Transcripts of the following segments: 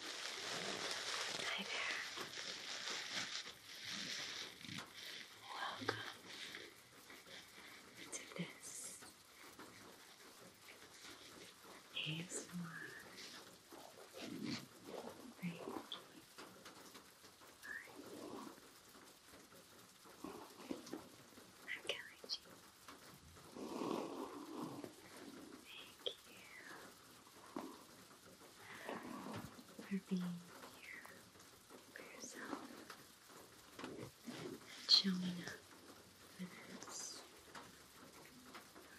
Hi there. Welcome to this ASMR Reiki I'm Kelly G. Thank you for being here for yourself and showing up for this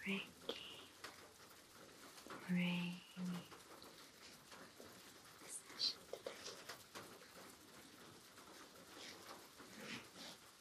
Reiki Reiki Today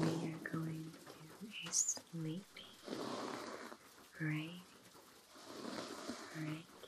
we are going to a sleepy, great, great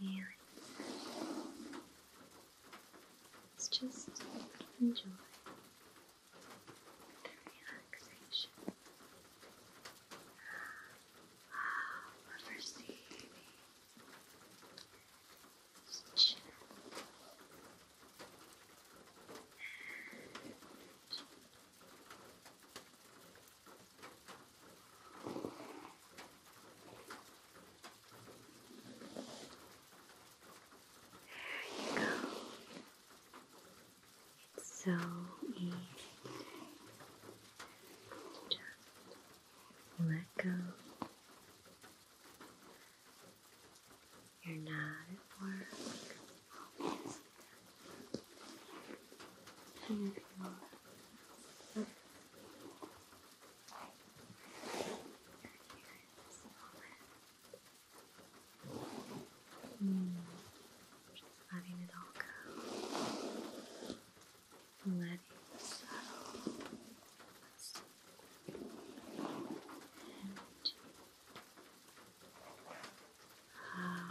and let's just enjoy the relaxation. Wow, we receiving just there you go. so easy. Just let go. You're not at work. Mm. Just letting it all go. Letting it settle. And how uh,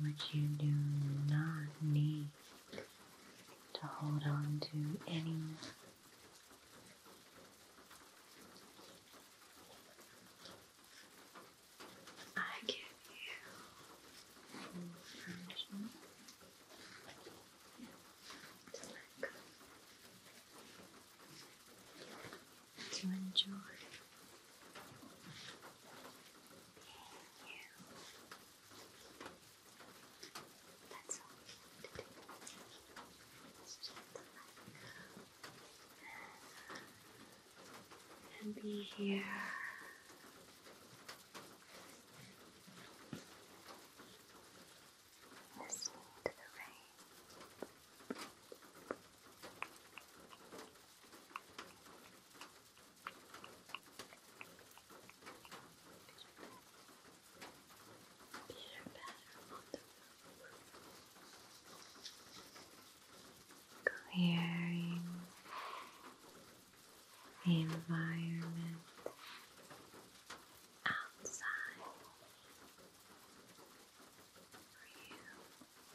which you do not need to hold on to Any I give you permission to let go to enjoy. Being you. That's all we need to let go. And be here. Listening to the rain. Peter clearing environment outside for you.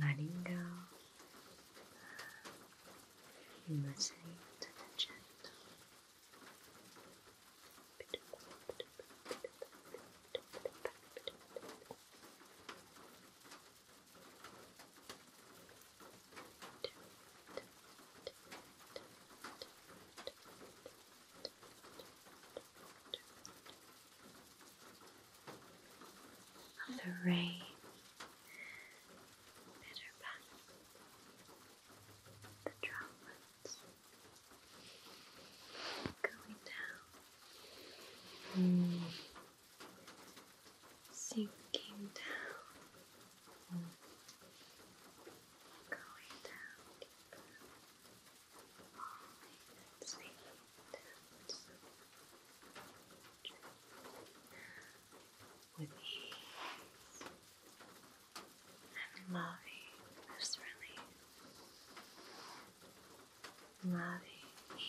Letting go, listening to the gentle the rain bitter the droplets going down mm. sinking down Going down falling asleep down with ease loving this relief, loving each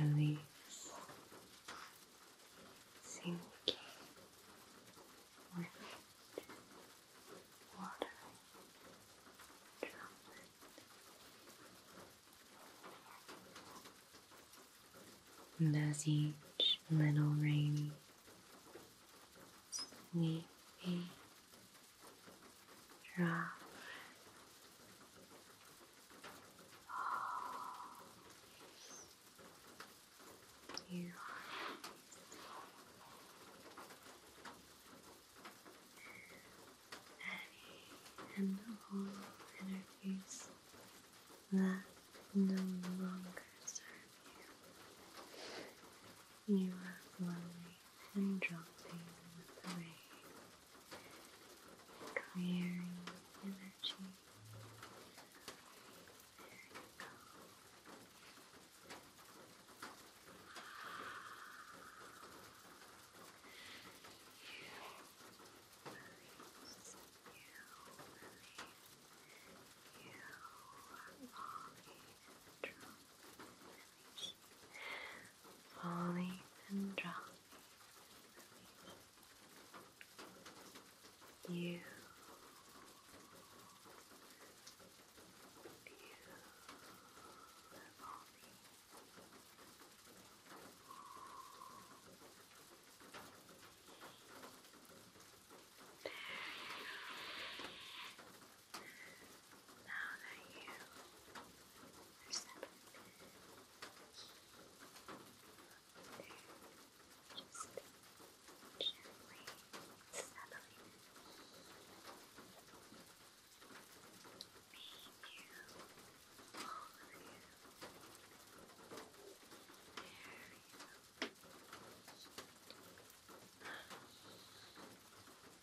release, sinking, liquid, water, droplet. And as each little rain, sleepy drop You any and all energies that no longer serve you. You are flowing and dropping with the rain, clearing energy. There you go. You release, you release, you are longing and drunk falling and dropping. You. Beautiful. There now that you are settled, there, just gently settling Make you all you. There you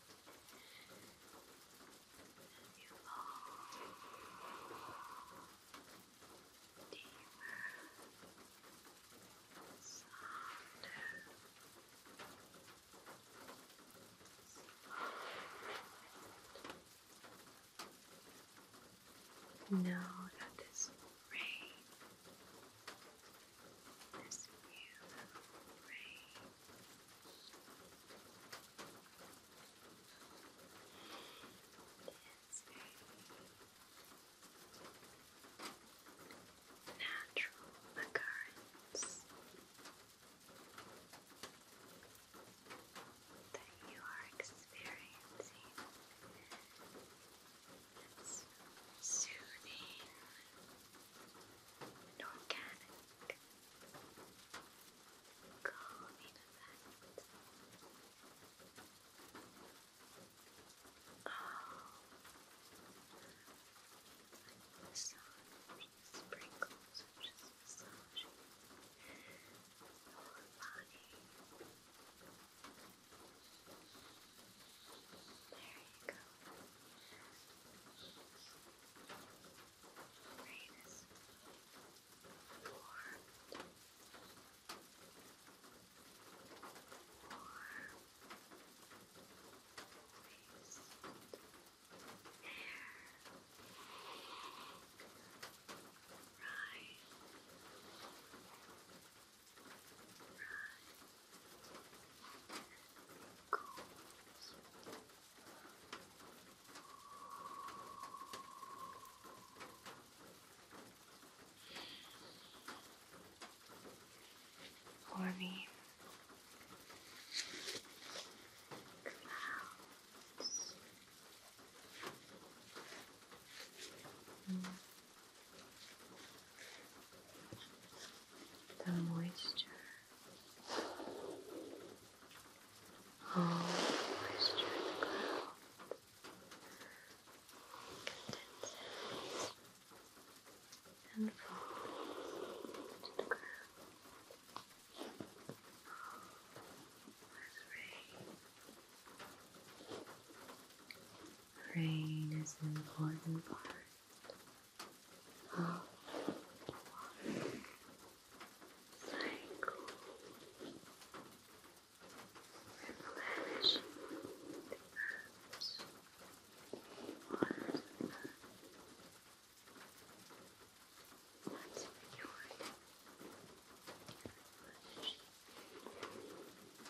You are deeper, softer, Know that this rain, this beautiful rain, it's natural occurrence that you are experiencing. It's soothing and organic calming effect. Oh, massage sprinkles are just massaging your body. There you go greatest warmth, warm, air, right, right. For me, clouds. Mm the moisture. All oh, moisture in the clouds condenses and falls to the ground. As oh, rain. Rain is an important part of one cycle, replenishing the earth one once cured, replenish the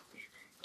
energy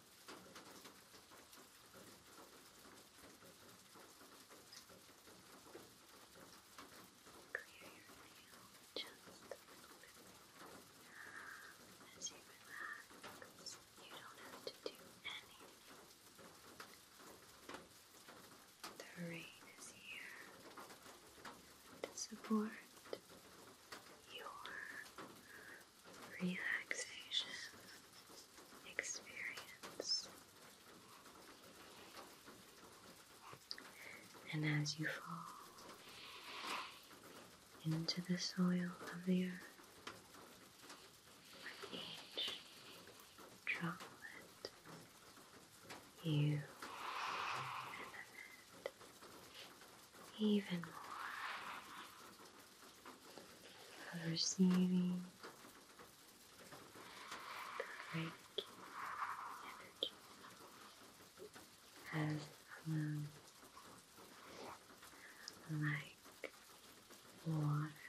Clear your nail just a little bit as you relax. You don't have to do anything. The rain is here to support your relaxation experience. And as you fall into the soil of the earth each droplet, you benefit even more of receiving the Reiki energy as it like water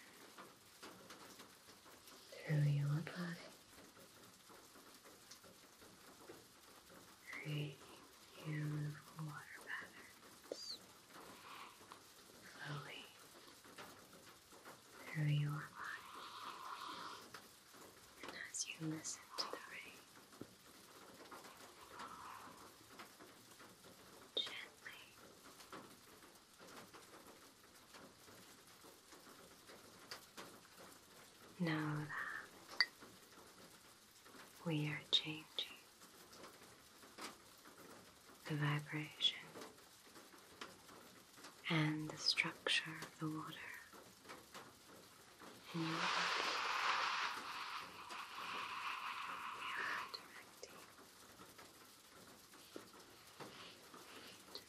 through your body. Creating beautiful water patterns slowly through your body, and as you listen to the rain, gently. Know that we are changing the vibration, and the structure of the water in your body. Directing, directing the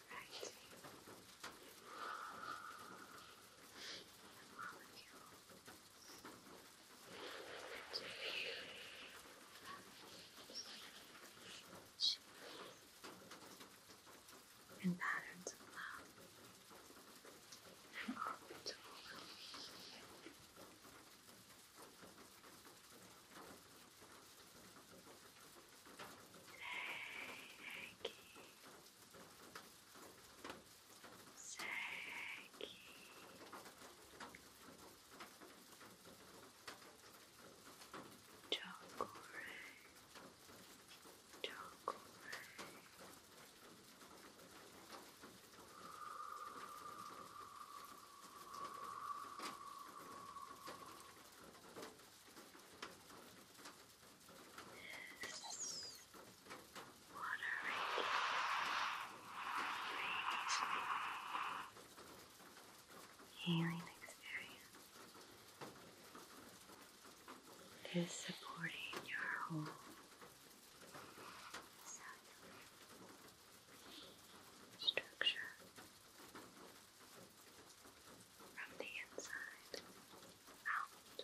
molecule and patterns of love are all of Today, I gave Segue. Chakore. Chakore. Yes fluttering radiating healing experience it is supporting your whole cellular structure from the inside out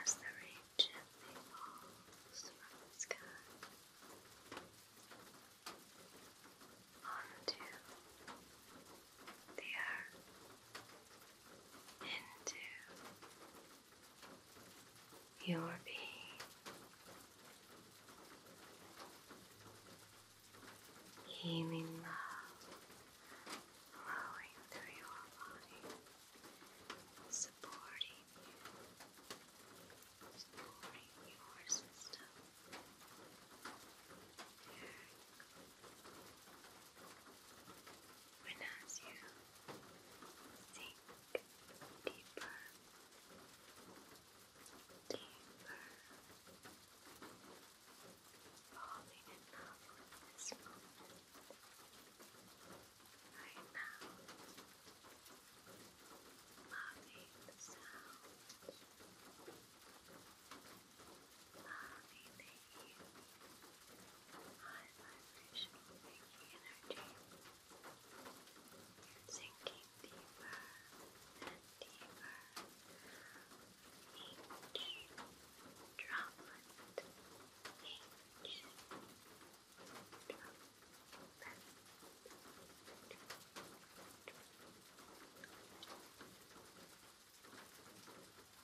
as the rain gently falls from onto the earth into your being. Healing love flowing through your body, supporting you, supporting your system. When as you sink deeper, deeper, falling in love this moment right now, loving the sound, loving the heat high vibrational Reiki energy, sinking deeper and deeper. Each droplet, each droplet. Sinking deeper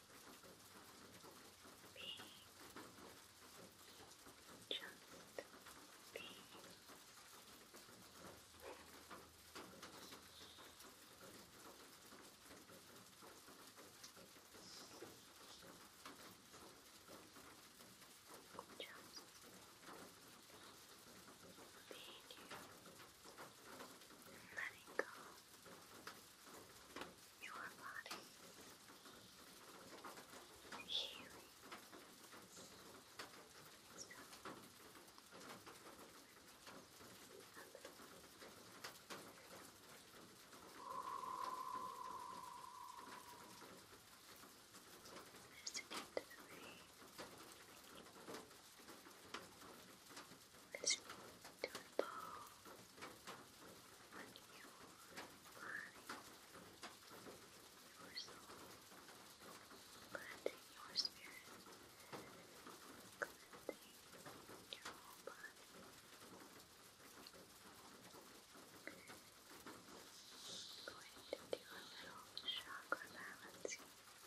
be just be. Just being you, letting go your body healing. So, just to get to the way. Let's move to a ball your soul, cleansing your spirit, cleansing your whole body. I'm going to do a little chakra balancing. Just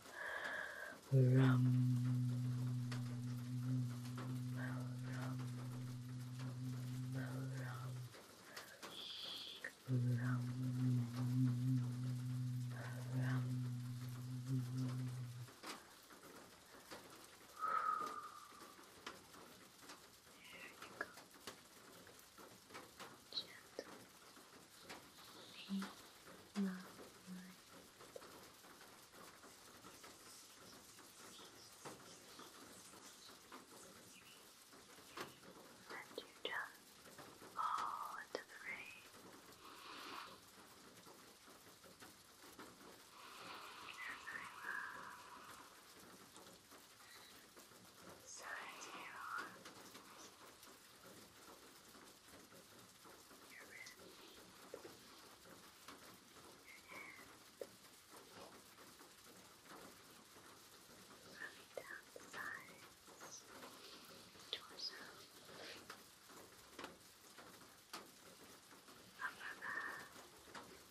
rum, rum, rum, rum. There you go gentle be my mind. And you just fall into the rain. As I love so your room, your running down the sides, torso, upper back. Down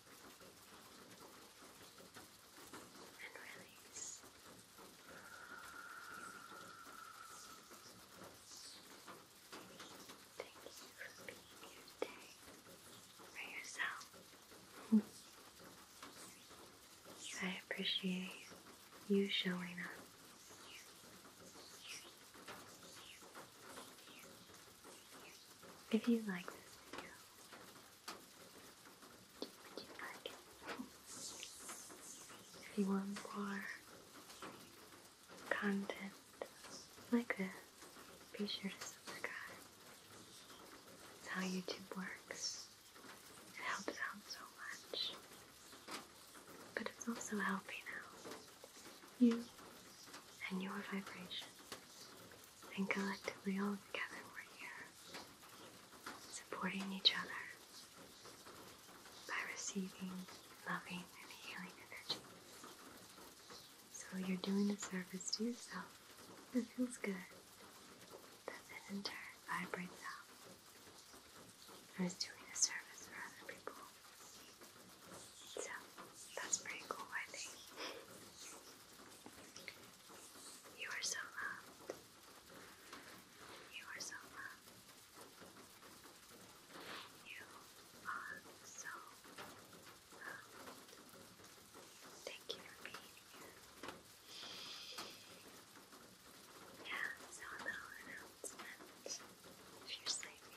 and release. Thank you for being for yourself. I appreciate you showing up. If you like this video, do you like it? If you want more content like this, be sure to subscribe. It's how YouTube works. It helps out so much. But it's also helping out you and your vibration and collectively all together we're here, supporting each other by receiving loving and healing energy. So you're doing a service to yourself that feels good, that then in turn vibrates out. I was doing a service for other people. So that's pretty cool, I think. You are so loved. You are so loved. You are so loved. Thank you for being here. Yeah, so a little announcement. If you're sleeping,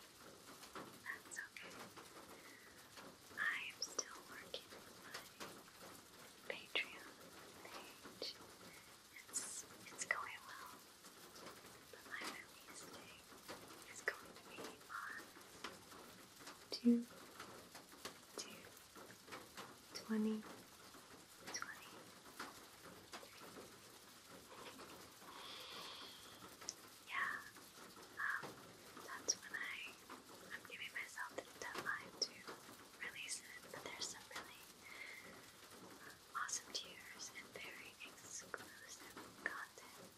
that's okay. I'm still working on my Patreon page. It's it's going well. But my release date is going to be on two two twenty twenty yeah, um, that's when I, I'm giving myself the deadline to release it, but there's some really awesome tiers and very exclusive content.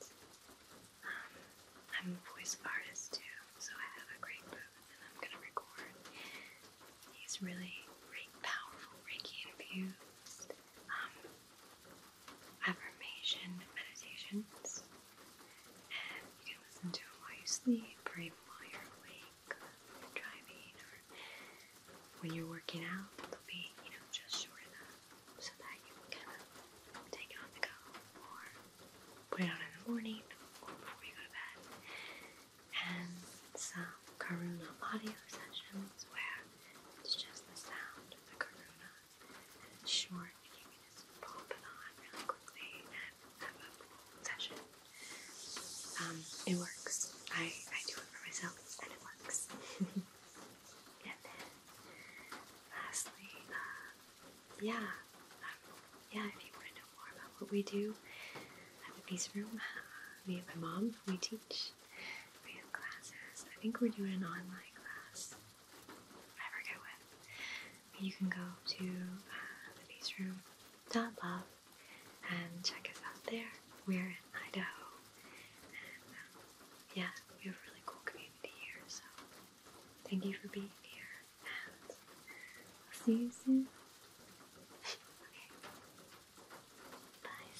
Um, I'm a voice artist too, so I have a great booth and I'm gonna record these really powerful Reiki interviews affirmation meditations, and you can listen to them while you sleep, or while you're awake, driving, or when you're working out. They'll be, you know, just short enough so that you can take it on the go, or put it on in the morning, or before you go to bed. And some Karuna audio sessions where it's just the sound of the Karuna short, you can just pop it on quickly and have a full session. Um, it works. I, I do it for myself and it works. and lastly, uh, yeah, um, yeah, if you want to know more about what we do at the Peace Room, me and my mom, we teach. We have classes. I think we're doing an online class I forget when. You can go to uh, the Peace Room love and check us out there. We're in Idaho, and um, yeah, we have a really cool community here. So thank you for being here, and I'll see you soon. okay, bye.